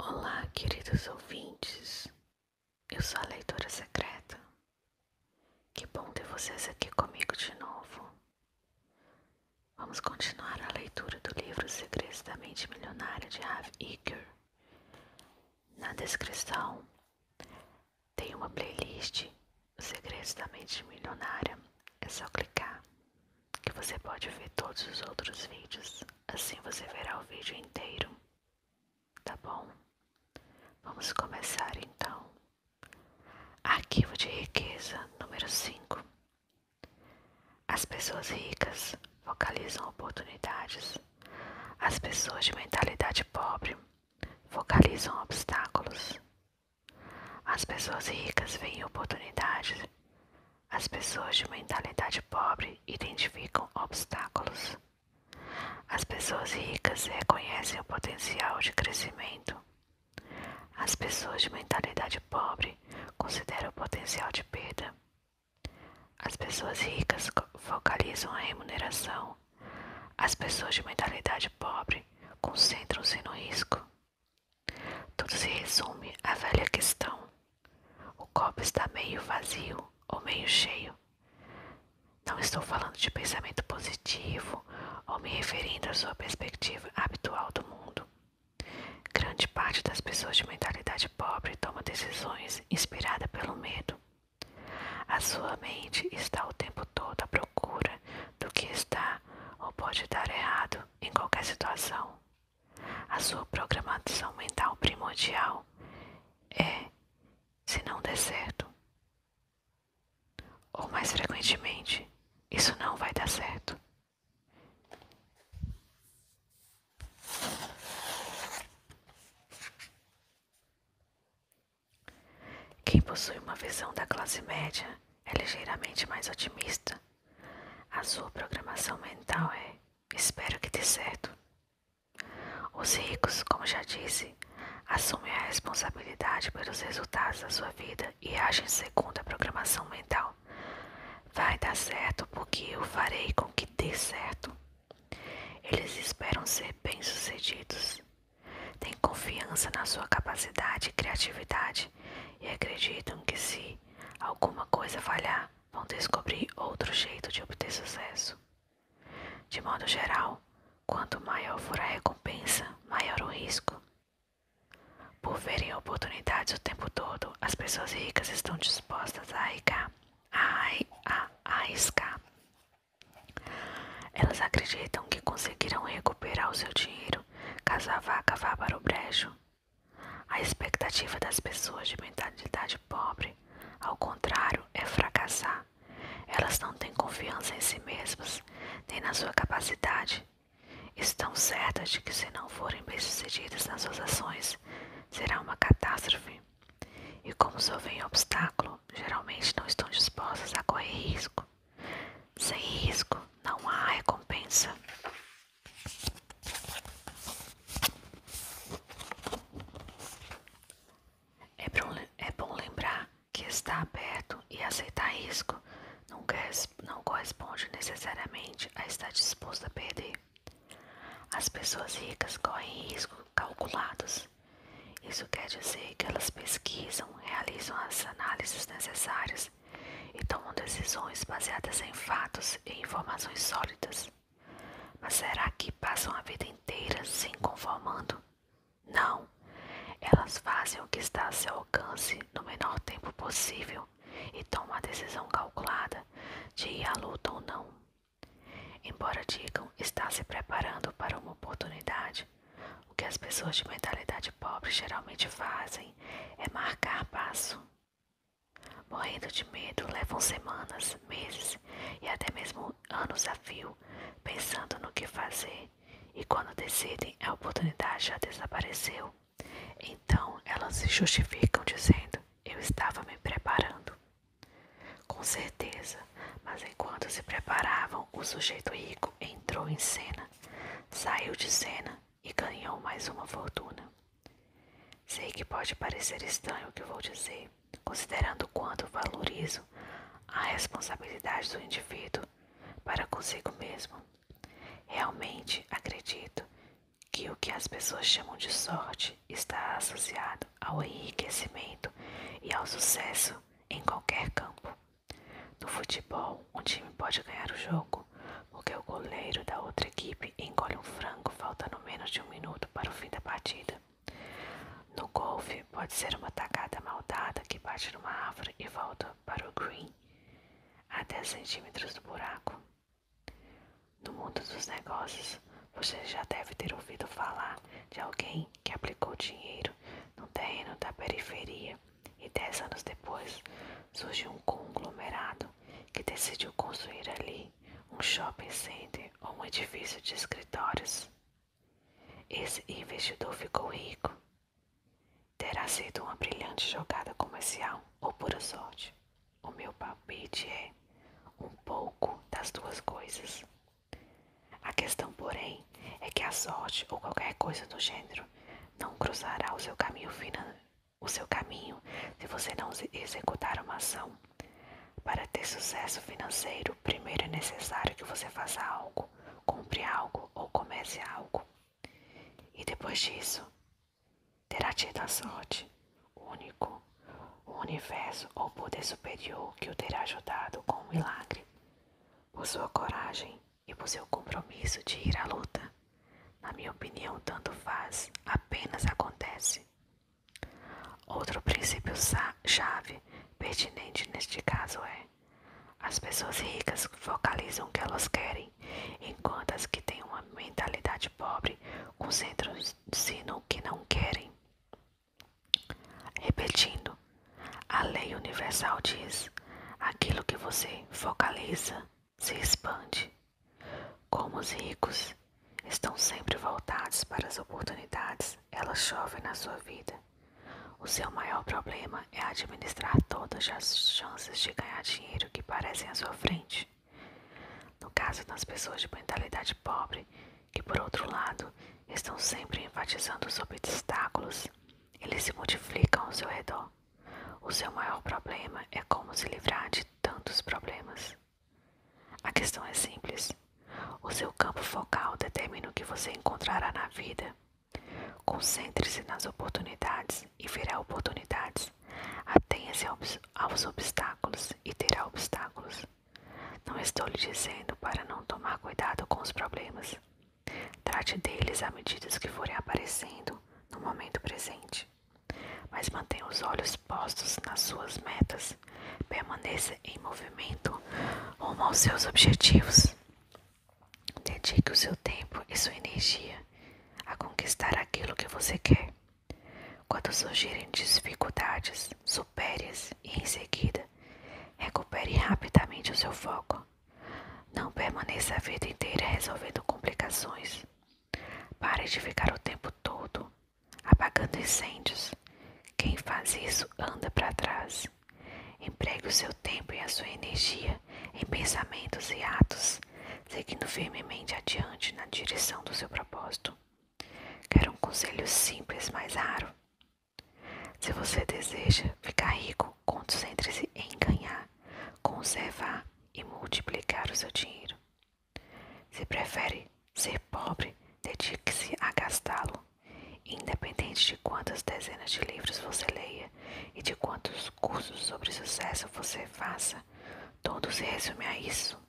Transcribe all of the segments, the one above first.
Olá, queridos ouvintes. Eu sou a leitora secreta. Que bom ter vocês aqui comigo de novo. Vamos continuar a leitura do livro Segredos da Mente Milionária de Rav Iker. Na descrição tem uma playlist Segredos da Mente Milionária. É só clicar que você pode ver todos os outros vídeos, assim você verá o vídeo inteiro. Tá bom? Vamos começar então. Arquivo de riqueza número 5. As pessoas ricas focalizam oportunidades. As pessoas de mentalidade pobre focalizam obstáculos. As pessoas ricas veem oportunidades. As pessoas de mentalidade pobre identificam obstáculos. As pessoas ricas reconhecem o potencial de crescimento. As pessoas de mentalidade pobre consideram o potencial de perda. As pessoas ricas focalizam a remuneração. As pessoas de mentalidade pobre concentram-se no risco. Tudo se resume à velha questão: o copo está meio vazio ou meio cheio. Não estou falando de pensamento positivo ou me referindo à sua perspectiva habitual do mundo. Grande parte das pessoas de mentalidade pobre toma decisões inspiradas pelo medo. A sua mente está o tempo todo à procura do que está ou pode dar errado em qualquer situação a sua programação mental primordial é, se não der certo, ou mais frequentemente, isso não vai dar certo. Quem possui uma visão da classe média é ligeiramente mais otimista. A sua programação mental é Espero que dê certo. Os ricos, como já disse, assumem a responsabilidade pelos resultados da sua vida e agem segundo a programação mental. Vai dar certo porque eu farei com que dê certo. Eles esperam ser bem-sucedidos. Têm confiança na sua capacidade e criatividade e acreditam que se alguma coisa falhar, vão descobrir outro jeito de obter sucesso. De modo geral, quanto maior for a recompensa, maior o risco. Por verem oportunidades o tempo todo, as pessoas ricas estão dispostas a arriscar. A, a, a arriscar. Elas acreditam que conseguirão recuperar o seu dinheiro casar a vaca vá para o brejo. A expectativa das pessoas de mentalidade pobre, ao contrário, é fracassar. Elas não têm confiança em si mesmas, nem na sua capacidade. Estão certas de que, se não forem bem-sucedidas nas suas ações, será uma catástrofe. E como só vem obstáculo, geralmente não estão dispostas a correr risco. Sem risco, não há recompensa. É, é bom, lembrar que estar aberto e aceitar risco não corresponde necessariamente a estar disposto a perder. As pessoas ricas correm riscos calculados. Isso quer dizer que elas pesquisam, realizam as análises necessárias e tomam decisões baseadas em fatos e informações sólidas. Mas será que passam a vida inteira se conformando? Não. Elas fazem o que está a seu alcance no menor tempo possível e tomam a decisão calculada de ir à luta ou não. Embora digam estar se preparando para uma oportunidade, o que as pessoas de mentalidade pobre geralmente fazem é marcar passo. Morrendo de medo, levam semanas, meses e até mesmo anos a fio, pensando no que fazer, e quando decidem, a oportunidade já desapareceu. Então elas se justificam dizendo: Eu estava me preparando. Com certeza, mas enquanto se preparavam, o sujeito rico entrou em cena, saiu de cena e ganhou mais uma fortuna. Sei que pode parecer estranho o que vou dizer, considerando quanto valorizo a responsabilidade do indivíduo para consigo mesmo. Realmente acredito que o que as pessoas chamam de sorte está associado ao enriquecimento e ao sucesso em qualquer campo. No futebol, um time pode ganhar o jogo, porque o goleiro da outra equipe engole um frango faltando menos de um minuto para o fim da partida. No golfe, pode ser uma tacada maldada que bate numa árvore e volta para o green a 10 centímetros do buraco. No mundo dos negócios, você já deve ter ouvido falar de alguém que aplicou dinheiro no terreno da periferia e dez anos depois surgiu um conglomerado que decidiu construir ali um shopping center ou um edifício de escritórios. Esse investidor ficou rico. Terá sido uma brilhante jogada comercial ou pura sorte. O meu palpite é um pouco das duas coisas. A questão, porém, é que a sorte ou qualquer coisa do gênero não cruzará o seu caminho financeiro o seu caminho se você não executar uma ação. Para ter sucesso financeiro, primeiro é necessário que você faça algo, compre algo ou comece algo. E depois disso, terá tido a sorte, o único, o universo ou poder superior que o terá ajudado com um milagre, por sua coragem e por seu compromisso de ir à luta. Na minha opinião, tanto faz, apenas acontece. Outro princípio chave pertinente neste caso é: as pessoas ricas focalizam o que elas querem, enquanto as que têm uma mentalidade pobre concentram-se no que não querem. Repetindo, a lei universal diz: aquilo que você focaliza se expande. Como os ricos estão sempre voltados para as oportunidades, elas chovem na sua vida. O seu maior problema é administrar todas as chances de ganhar dinheiro que parecem à sua frente. No caso das pessoas de mentalidade pobre, que por outro lado estão sempre enfatizando sobre obstáculos, eles se multiplicam ao seu redor. O seu maior problema é como se livrar de tantos problemas. A questão é simples. O seu campo focal determina o que você encontrará na vida. Concentre-se nas oportunidades e verá oportunidades. Atenha-se aos obstáculos e terá obstáculos. Não estou lhe dizendo para não tomar cuidado com os problemas. Trate deles à medida que forem aparecendo, no momento presente, mas mantenha os olhos postos nas suas metas, permaneça em movimento rumo aos seus objetivos. Dedique o seu tempo e sua energia a conquistar aquilo que você quer. Quando surgirem dificuldades, supere-as e, em seguida, recupere rapidamente o seu foco. Não permaneça a vida inteira resolvendo complicações. Pare de ficar o tempo todo apagando incêndios. Quem faz isso anda para trás. Empregue o seu tempo e a sua energia em pensamentos e atos, seguindo firmemente adiante na direção do seu propósito. Quero um conselho simples, mas raro. Se você deseja ficar rico, então, concentre-se em ganhar, conservar e multiplicar o seu dinheiro. Se prefere ser pobre, dedique-se a gastá-lo, independente de quantas dezenas de livros você leia e de quantos cursos sobre sucesso você faça. Tudo se resume a isso.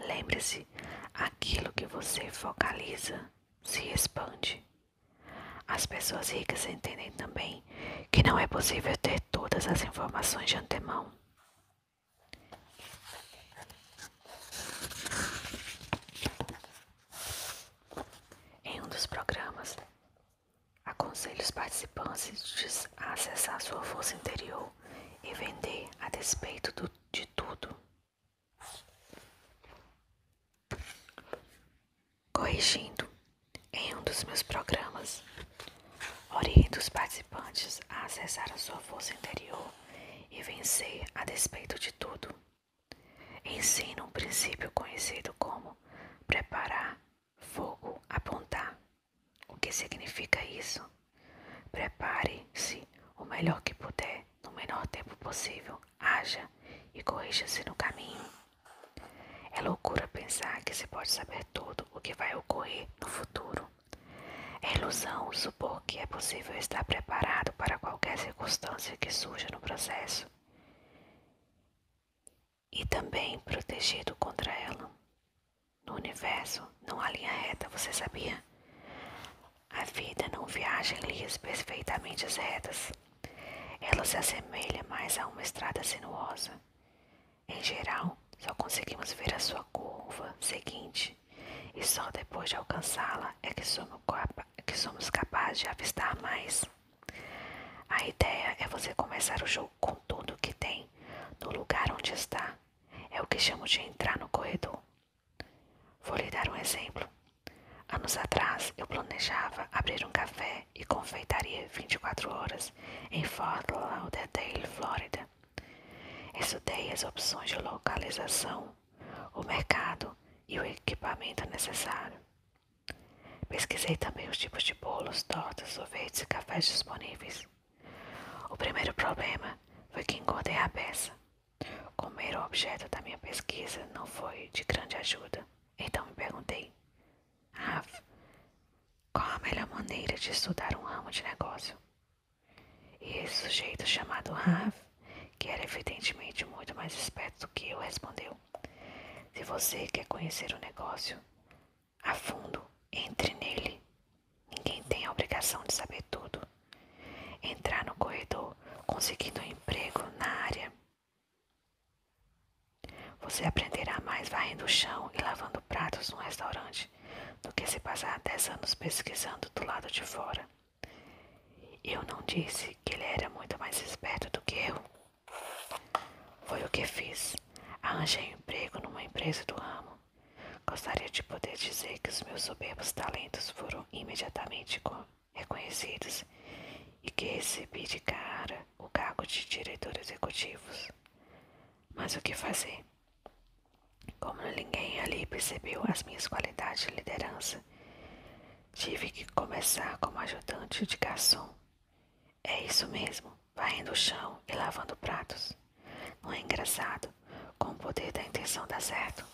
Lembre-se, aquilo que você focaliza se expande. As pessoas ricas entendem também que não é possível ter todas as informações de antemão. Em um dos programas, aconselho os participantes a acessar sua força interior e vender a despeito de tudo corrigindo em um dos meus programas. Oriento os participantes a acessar a sua força interior e vencer a despeito de tudo. Ensino um princípio conhecido como preparar, fogo, apontar. O que significa isso? Prepare-se o melhor que puder no menor tempo possível, haja e corrija-se no caminho. É loucura pensar que se pode saber tudo o que vai ocorrer no futuro. É ilusão supor que é possível estar preparado para qualquer circunstância que surja no processo e também protegido contra ela. No universo não há linha reta, você sabia? A vida não viaja em linhas perfeitamente retas. Ela se assemelha mais a uma estrada sinuosa. Em geral, só conseguimos ver a sua curva seguinte, e só depois de alcançá-la é que somos, é capazes de avistar mais. A ideia é você começar o jogo com tudo o que tem, no lugar onde está. É o que chamamos de entrar no corredor. Vou lhe dar um exemplo. Anos atrás, eu planejava abrir um café e confeitaria 24 horas em Fort Lauderdale, Flórida. Estudei as opções de localização, o mercado e o equipamento necessário. Pesquisei também os tipos de bolos, tortas, sorvetes e cafés disponíveis. O primeiro problema foi que engordei a peça. Comer o objeto da minha pesquisa não foi de grande ajuda, então me perguntei Rafa, qual a melhor maneira de estudar um ramo de negócio? E esse sujeito chamado Rafa, que era evidentemente muito mais esperto do que eu, respondeu: Se você quer conhecer o negócio a fundo, entre nele. Ninguém tem a obrigação de saber tudo. Entrar no corredor conseguindo um emprego na área você aprenderá mais varrendo o chão e lavando pratos num restaurante do que se passar dez anos pesquisando do lado de fora. Eu não disse que ele era muito mais esperto do que eu. Foi o que fiz. Arranjei um emprego numa empresa do ramo. Gostaria de poder dizer que os meus soberbos talentos foram imediatamente reconhecidos e que recebi de cara o cargo de diretor executivo. Mas o que fazer? Como ninguém ali percebeu as minhas qualidades de liderança, tive que começar como ajudante de garçom. É isso mesmo, varrendo o chão e lavando pratos. Não é engraçado? Com o poder da intenção dá certo.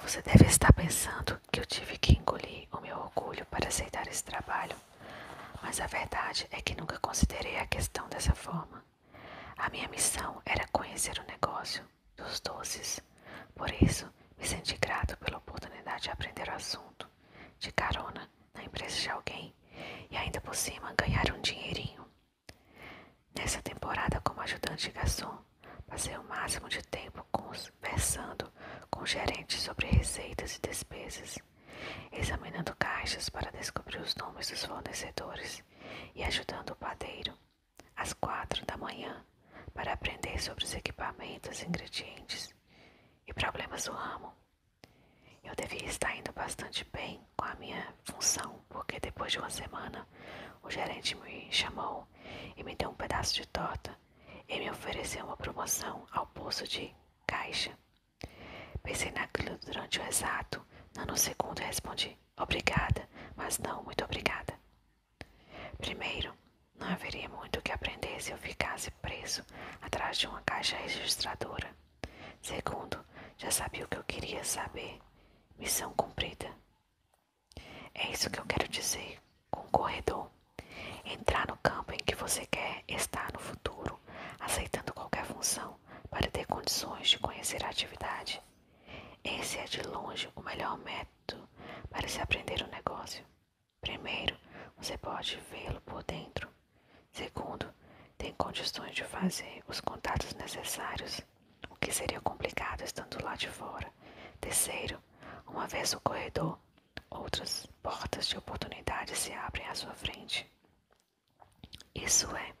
Você deve estar pensando que eu tive que engolir o meu orgulho para aceitar esse trabalho, mas a verdade é que nunca considerei a questão dessa forma. A minha missão era conhecer o negócio dos doces, por isso me senti grato pela oportunidade de aprender o assunto, de carona na empresa de alguém e ainda por cima ganhar um dinheirinho. Nessa temporada, como ajudante de garçom, passei o máximo de tempo conversando passado com gerentes sobre receitas e despesas, examinando caixas para descobrir os nomes dos fornecedores e ajudando o padeiro às quatro da manhã para aprender sobre os equipamentos, ingredientes e problemas do ramo. Eu devia estar indo bastante bem com a minha função, porque depois de uma semana o gerente me chamou e me deu um pedaço de torta ele me ofereceu uma promoção ao posto de caixa. Pensei naquilo durante o exato nanosegundo e respondi: Obrigada, mas não muito obrigada. Primeiro, não haveria muito que aprender se eu ficasse preso atrás de uma caixa registradora. Segundo, já sabia o que eu queria saber. Missão cumprida. É isso que eu quero dizer com o corredor. Entrar no campo em que você quer estar no futuro, aceitando qualquer função para ter condições de conhecer a atividade. Esse é de longe o melhor método para se aprender o negócio. Primeiro, você pode vê-lo por dentro. Segundo, tem condições de fazer os contatos necessários, o que seria complicado estando lá de fora. Terceiro, uma vez no corredor, outras portas de oportunidade se abrem à sua frente. Isso é,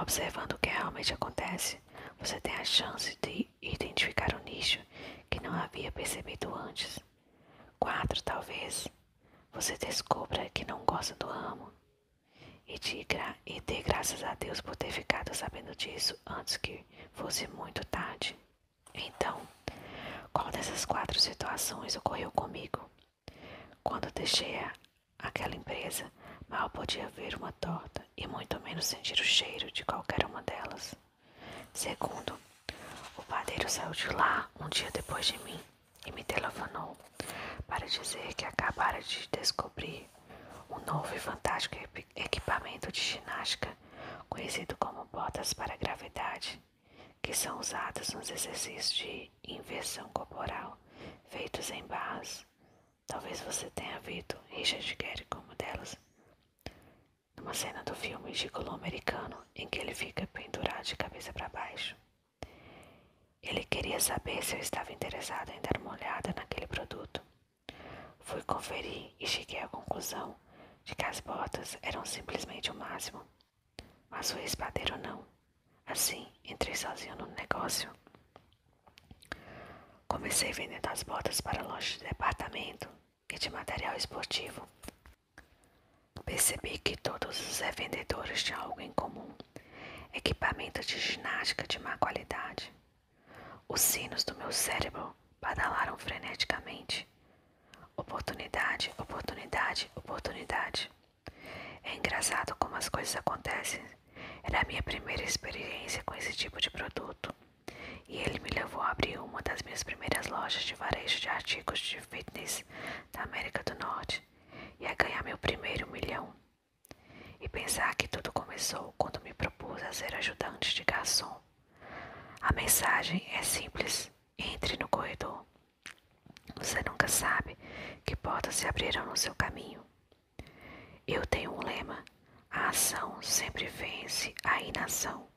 observando o que realmente acontece, você tem a chance de identificar um nicho que não havia percebido antes. Quatro, Talvez você descubra que não gosta do ramo e, de gra e dê graças a Deus por ter ficado sabendo disso antes que fosse muito tarde. Então, qual dessas quatro situações ocorreu comigo? Quando deixei aquela empresa, mal podia ver uma torta e muito menos sentir o cheiro de qualquer uma delas. Segundo, o padeiro saiu de lá um dia depois de mim e me telefonou para dizer que acabara de descobrir um novo e fantástico equipamento de ginástica conhecido como botas para gravidade, que são usadas nos exercícios de inversão corporal feitos em barras. Talvez você tenha visto Richard Gere como delas. Numa cena do filme Gigolo Americano, em que ele fica pendurado de cabeça para baixo. Ele queria saber se eu estava interessado em dar uma olhada naquele produto. Fui conferir e cheguei à conclusão de que as botas eram simplesmente o máximo. Mas o espadeiro não. Assim, entrei sozinho no negócio. Comecei vendendo as botas para lojas de departamento e de material esportivo. Percebi que todos os revendedores tinham algo em comum: equipamento de ginástica de má qualidade. Os sinos do meu cérebro badalaram freneticamente. Oportunidade, oportunidade, oportunidade. É engraçado como as coisas acontecem. Era a minha primeira experiência com esse tipo de produto. E ele me levou a abrir uma das minhas primeiras lojas de varejo de artigos de fitness da América do Norte e a ganhar meu primeiro milhão. E pensar que tudo começou quando me propus a ser ajudante de garçom a mensagem é simples: entre no corredor. Você nunca sabe que portas se abrirão no seu caminho. Eu tenho um lema: a ação sempre vence a inação.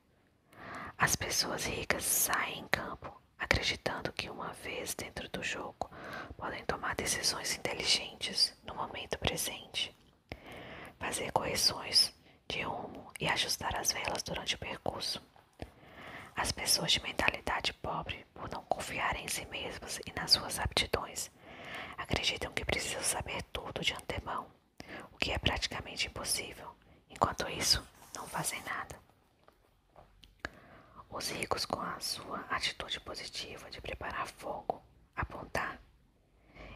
As pessoas ricas saem em campo acreditando que uma vez dentro do jogo podem tomar decisões inteligentes no momento presente fazer correções de rumo e ajustar as velas durante o percurso. As pessoas de mentalidade pobre, por não confiar em si mesmas e nas suas aptidões, acreditam que precisam saber tudo de antemão, o que é praticamente impossível. Enquanto isso, não fazem nada. Os ricos, com a sua atitude positiva de preparar fogo, apontar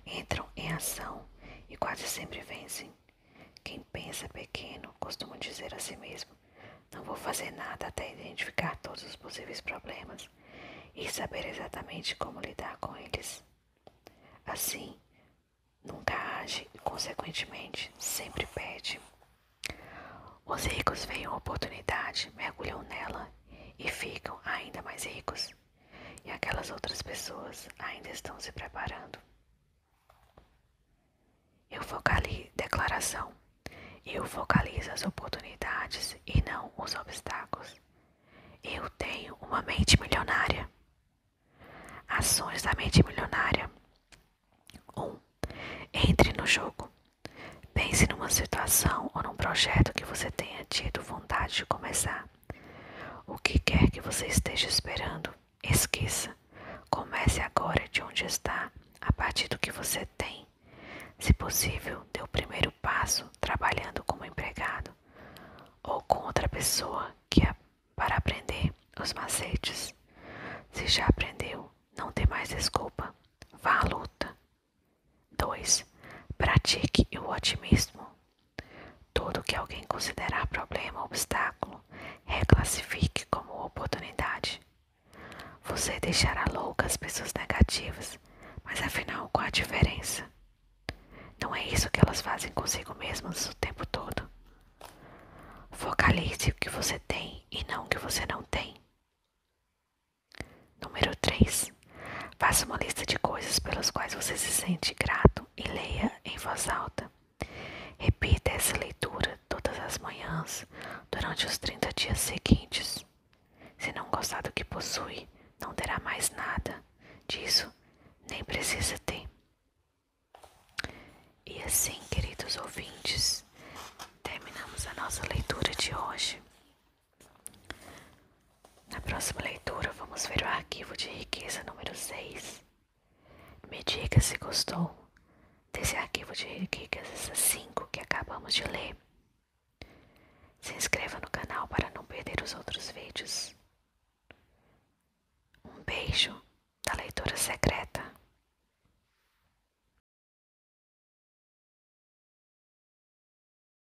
Entram em ação e quase sempre vencem. Quem pensa pequeno costuma dizer a si mesmo: não vou fazer nada até identificar todos os possíveis problemas e saber exatamente como lidar com eles. Assim, nunca age e, consequentemente, sempre pede. Os ricos veem a oportunidade, mergulham nela e ficam ainda mais ricos. E aquelas outras pessoas ainda estão se preparando. Eu focalizo declaração. Eu focalizo as oportunidades e não os obstáculos. Eu tenho uma mente milionária. Ações da mente milionária. 1. Um, entre no jogo. Pense numa situação ou num projeto que você tenha tido vontade de começar. O que quer que você esteja esperando, esqueça. Comece agora de onde está, a partir do que você tem. Se possível, dê o primeiro passo trabalhando como empregado ou com outra pessoa que para aprender os macetes. Se já aprendeu, não tem mais desculpa. Vá à luta. 2. Pratique o otimismo. Tudo que alguém considerar problema ou obstáculo, reclassifique como oportunidade. Você deixará louca as pessoas negativas, mas afinal, qual a diferença? Não é isso que elas fazem consigo mesmas o tempo todo. Focalize o que você tem e não o que você não tem. Número 3. Faça uma lista de coisas pelas quais você se sente grato e leia em voz alta. Repita essa leitura todas as manhãs durante os 30 dias seguintes. Se não gostar do que possui, não terá mais nada. Disso nem precisa ter. E assim, queridos ouvintes, terminamos a nossa leitura de hoje. Na próxima leitura, vamos ver o arquivo de riqueza número 6. Me diga se gostou desse arquivo de riquezas 5 que acabamos de ler. Se inscreva no canal para não perder os outros vídeos. Um beijo da leitura secreta.